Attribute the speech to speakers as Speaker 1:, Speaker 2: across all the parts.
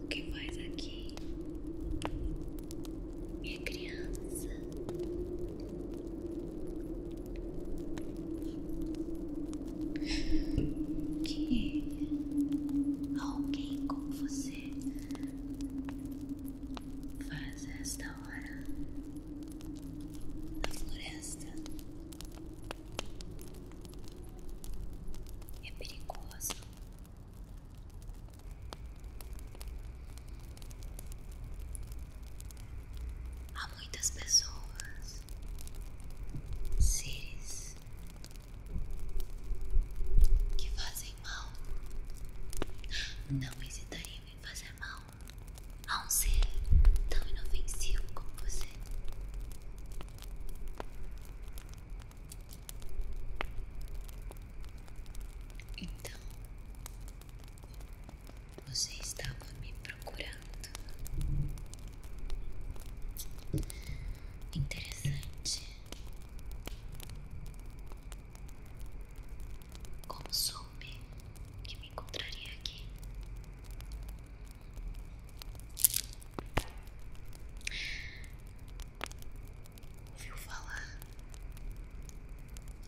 Speaker 1: O que faz aqui, minha criança? Que alguém como você faz esta hora da floresta é perigoso. Há muitas pessoas, seres que fazem mal. Não hesitariam em fazer mal a um ser tão inofensivo como você. Então, você estava me procurando. Interessante. Como sou soube que me encontraria aqui. Ouviu falar?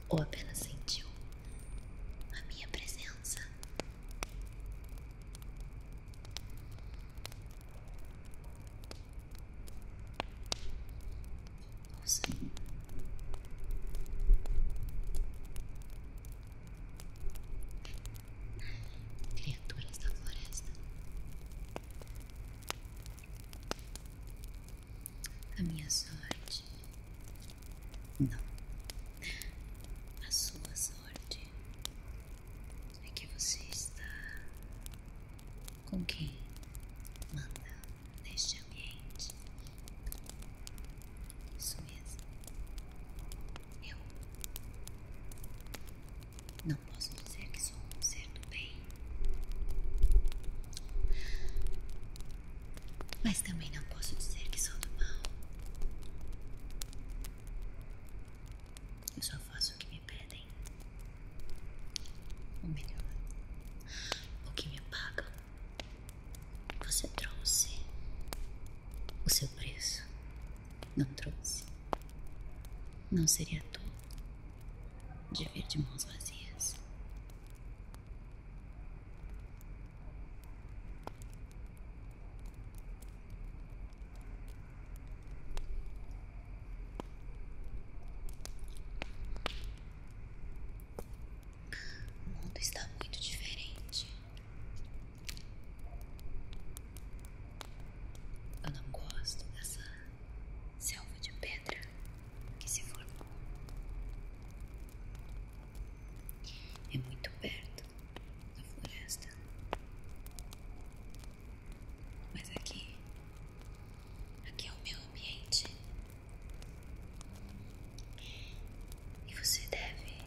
Speaker 1: Ou apenas sentiu a minha presença? Nossa. Criaturas da floresta. A minha sorte. Não. A sua sorte é que você está com quem manda neste ambiente. Isso mesmo. Eu não posso dizer que sou um ser do bem, mas também não posso dizer que sou do mal. Eu só faço o que me pedem, ou melhor, o que me pagam. Você trouxe o seu preço. Não trouxe. Não seria tu de vir de mãos vazias. O mundo está muito diferente. Eu não gosto dessa selva de pedra que se formou. É muito perto da floresta. Mas aqui Aqui é o meu ambiente. E você deve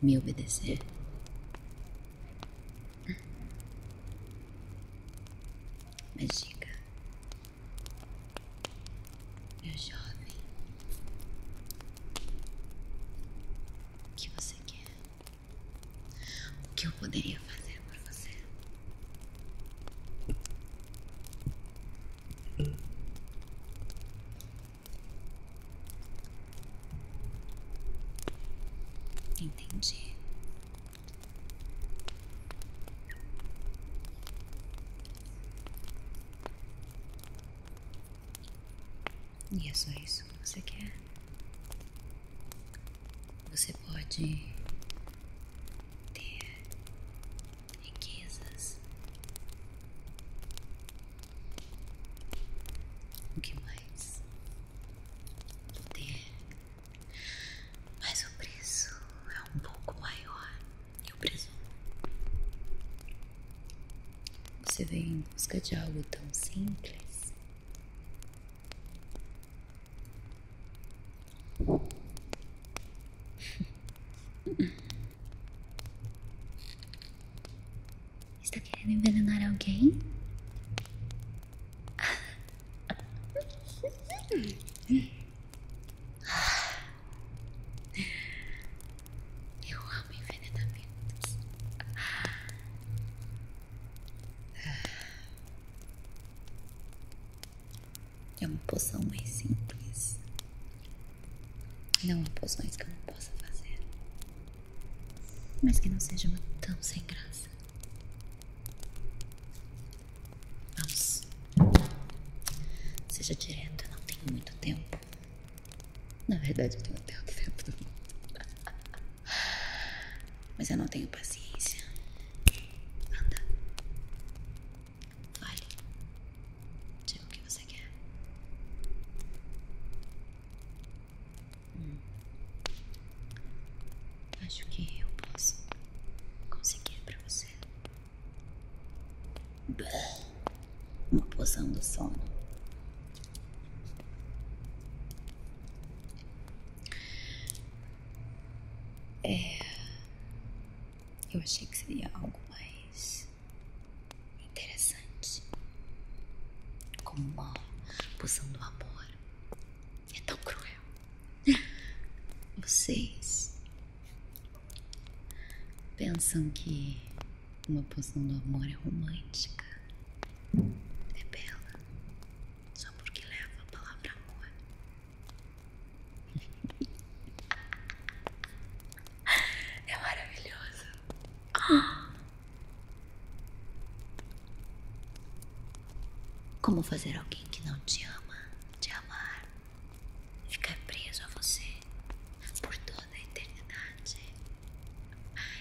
Speaker 1: me obedecer. Hum. Mas diga, meu jovem, o que você quer? O que eu poderia fazer por você? Entendi. E é só isso que você quer? Você pode ter riquezas. O que mais? ter Mas o preço é um pouco maior. Eu presumo. Você vem em busca de algo tão simples. Está querendo envenenar alguém? Eu amo envenenamentos. É uma poção mais simples. Não há poções que eu não possa fazer. Mas que não seja uma tão sem graça. Vamos. Seja direto, eu não tenho muito tempo. Na verdade, eu tenho até o tempo do mundo. Mas eu não tenho paciência Anda. Fale. Diga o que você quer. Hum. Acho que eu posso conseguir para você. Uma poção do sono. É. Eu achei que seria algo mais. interessante. Como uma poção do amor. É tão cruel. Vocês. pensam que uma poção do amor é romântica. É bela só porque leva a palavra amor. É maravilhoso. Como fazer alguém que não te ama te amar? Ficar preso a você por toda a eternidade.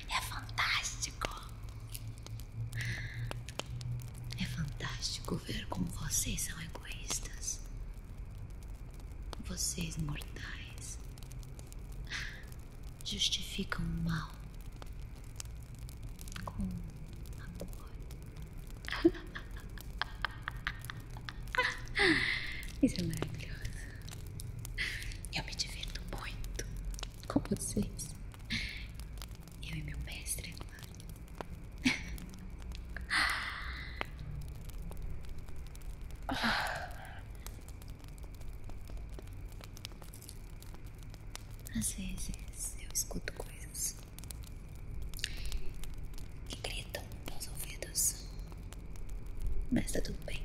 Speaker 1: É fantástico. É fantástico ver como vocês são egoístas. Vocês mortais justificam o mal com amor. Isso é maravilhoso. Eu me divirto muito com vocês. Eu e meu mestre é agora. Às vezes eu escuto coisas que gritam nos ouvidos, mas tá tudo bem.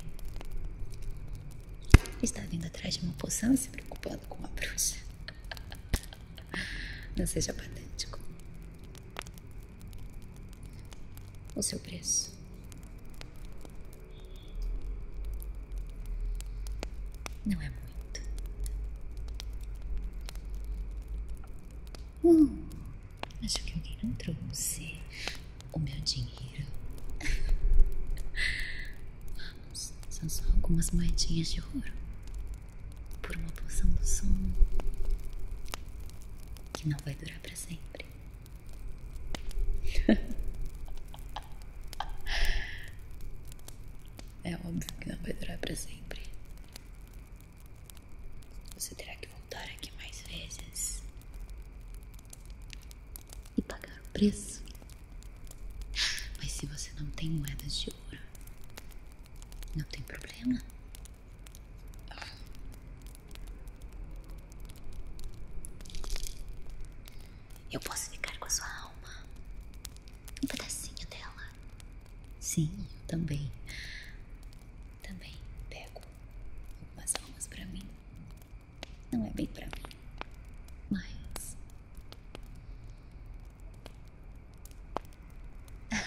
Speaker 1: Está vindo atrás de uma poção se preocupando com uma bruxa. Não seja patético. O seu preço. Não é muito. Hum, acho que alguém não trouxe o meu dinheiro. são só algumas moedinhas de ouro por uma poção do sono que não vai durar para sempre. é óbvio que não vai durar para sempre. Você terá que voltar aqui mais vezes e pagar o preço. Mas se você não tem moedas de ouro, não tem problema. Eu posso ficar com a sua alma, um pedacinho dela. Sim, eu também. Também pego algumas almas para mim. Não é bem para mim. Mas.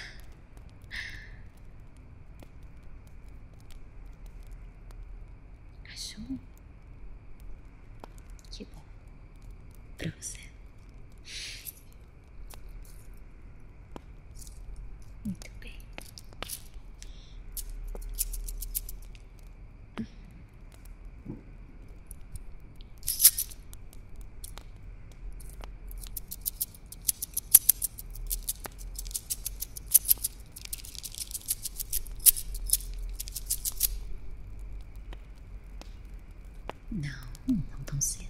Speaker 1: Achou? Que bom. para você. Muito bem. Não, não tão cedo.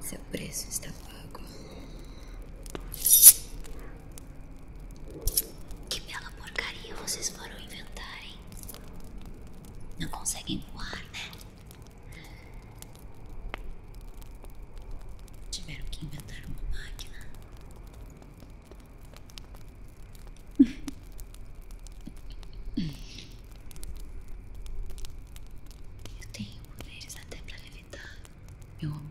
Speaker 1: Seu preço está pago. Que bela porcaria vocês foram inventar, hein? Não conseguem voar, né? Tiveram que inventar uma máquina. Eu tenho poderes até para levitar, meu amor.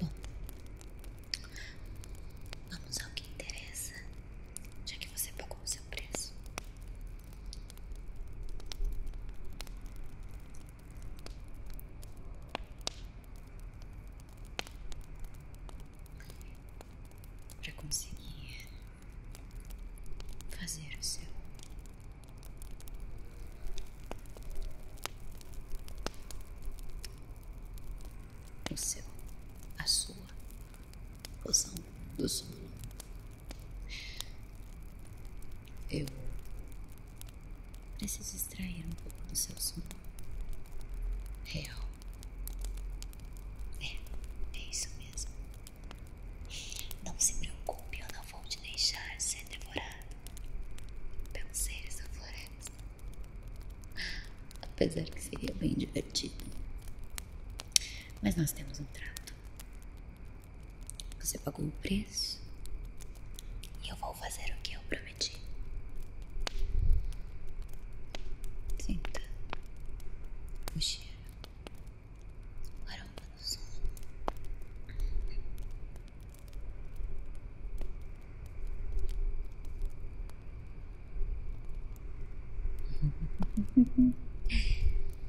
Speaker 1: Bom, vamos ao que interessa, já que você pagou o seu preço para conseguir fazer o seu o seu a sua poção do solo. Eu preciso extrair um pouco do seu som real. É, é isso mesmo. Não se preocupe, eu não vou te deixar ser devorado pelos seres da floresta. Apesar que seria bem divertido. Mas nós temos um trato. Você pagou o preço e eu vou fazer o que eu prometi. Sinta o cheiro, o aroma do
Speaker 2: sono.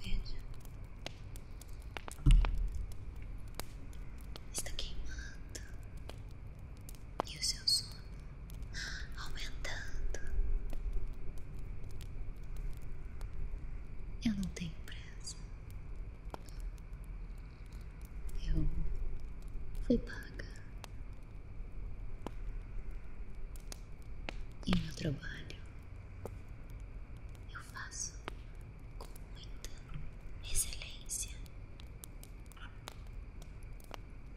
Speaker 1: Veja, está queimando e o seu sono aumentando. Eu não tenho pressa. Eu fui paga.
Speaker 2: E meu trabalho
Speaker 1: eu faço com muita excelência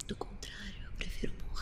Speaker 1: do contrário, eu prefiro morrer.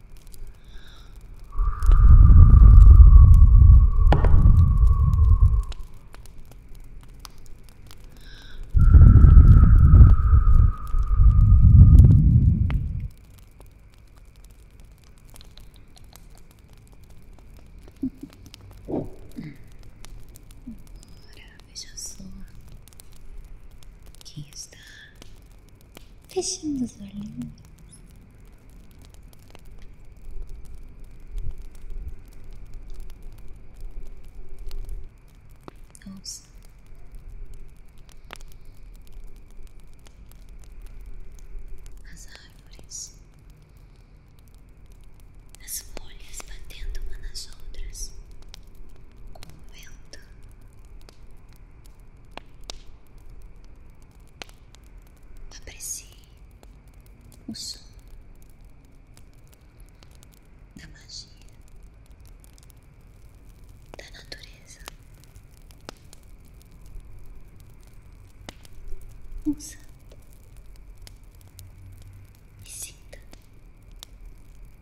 Speaker 1: Agora veja só quem está fechando os olhinhos. Ouça. As árvores, as folhas batendo uma nas outras, com Aprecie o som da magia da natureza. Usa e sinta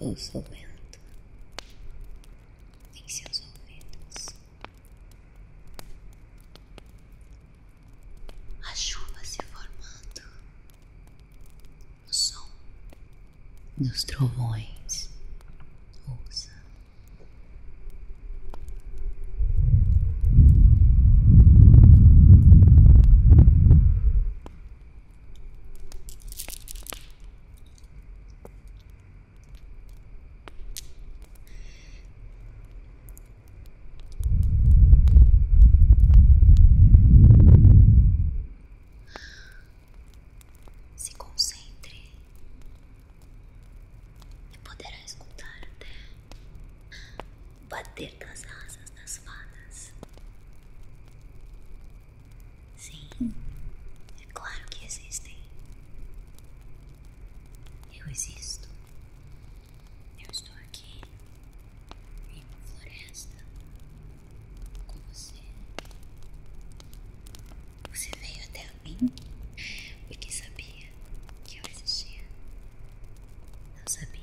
Speaker 1: ouço o vento em seus ouvidos. A chuva se formando, o som dos trovões. Ouça. Se concentre e poderá escutar até bater das asas das fadas. Sim, é claro que existem. Eu existo. Eu estou aqui em uma floresta com você. Você veio até mim porque sabia que eu existia. Não sabia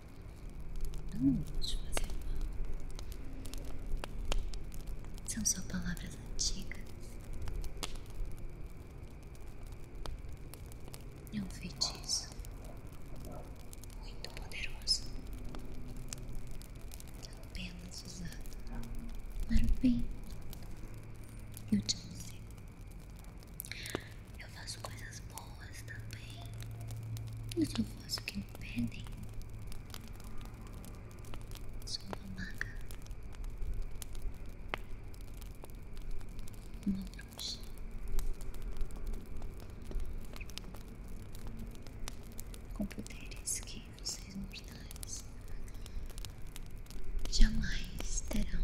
Speaker 1: Não vou te fazer mal. São só palavras antigas. É um feitiço muito poderoso. Apenas usado para o bem. Eu te amo. Eu faço coisas boas também. Eu uhum. só faço o que me pedem. Sou uma maga. Uma bruxa. Com poderes que vocês mortais jamais terão.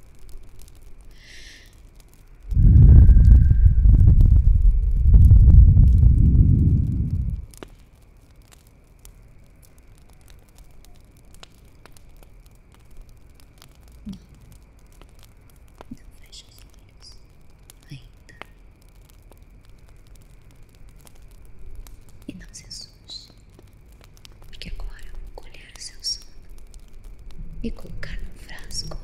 Speaker 1: Não, não fecha os olhos ainda. E não se sons, porque agora eu vou colher o seu sono e colocar num frasco.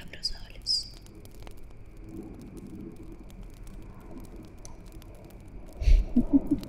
Speaker 1: Abra os olhos.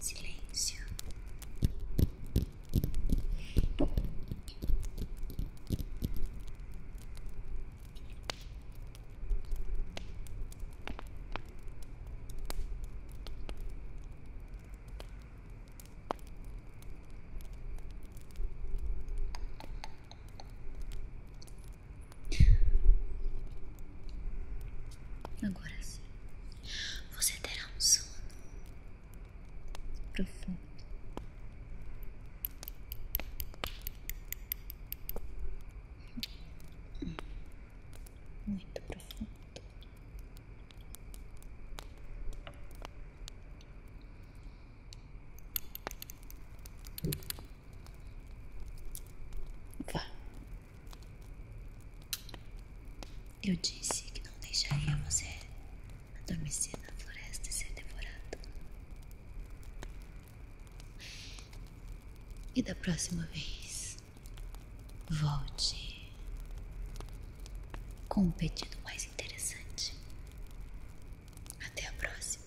Speaker 1: silêncio. Agora sim, você terá um sono profundo. Muito profundo. Vá. Eu disse que não deixaria você adormecer na floresta e ser devorado. E da próxima vez, volte com um pedido mais interessante. Até a próxima.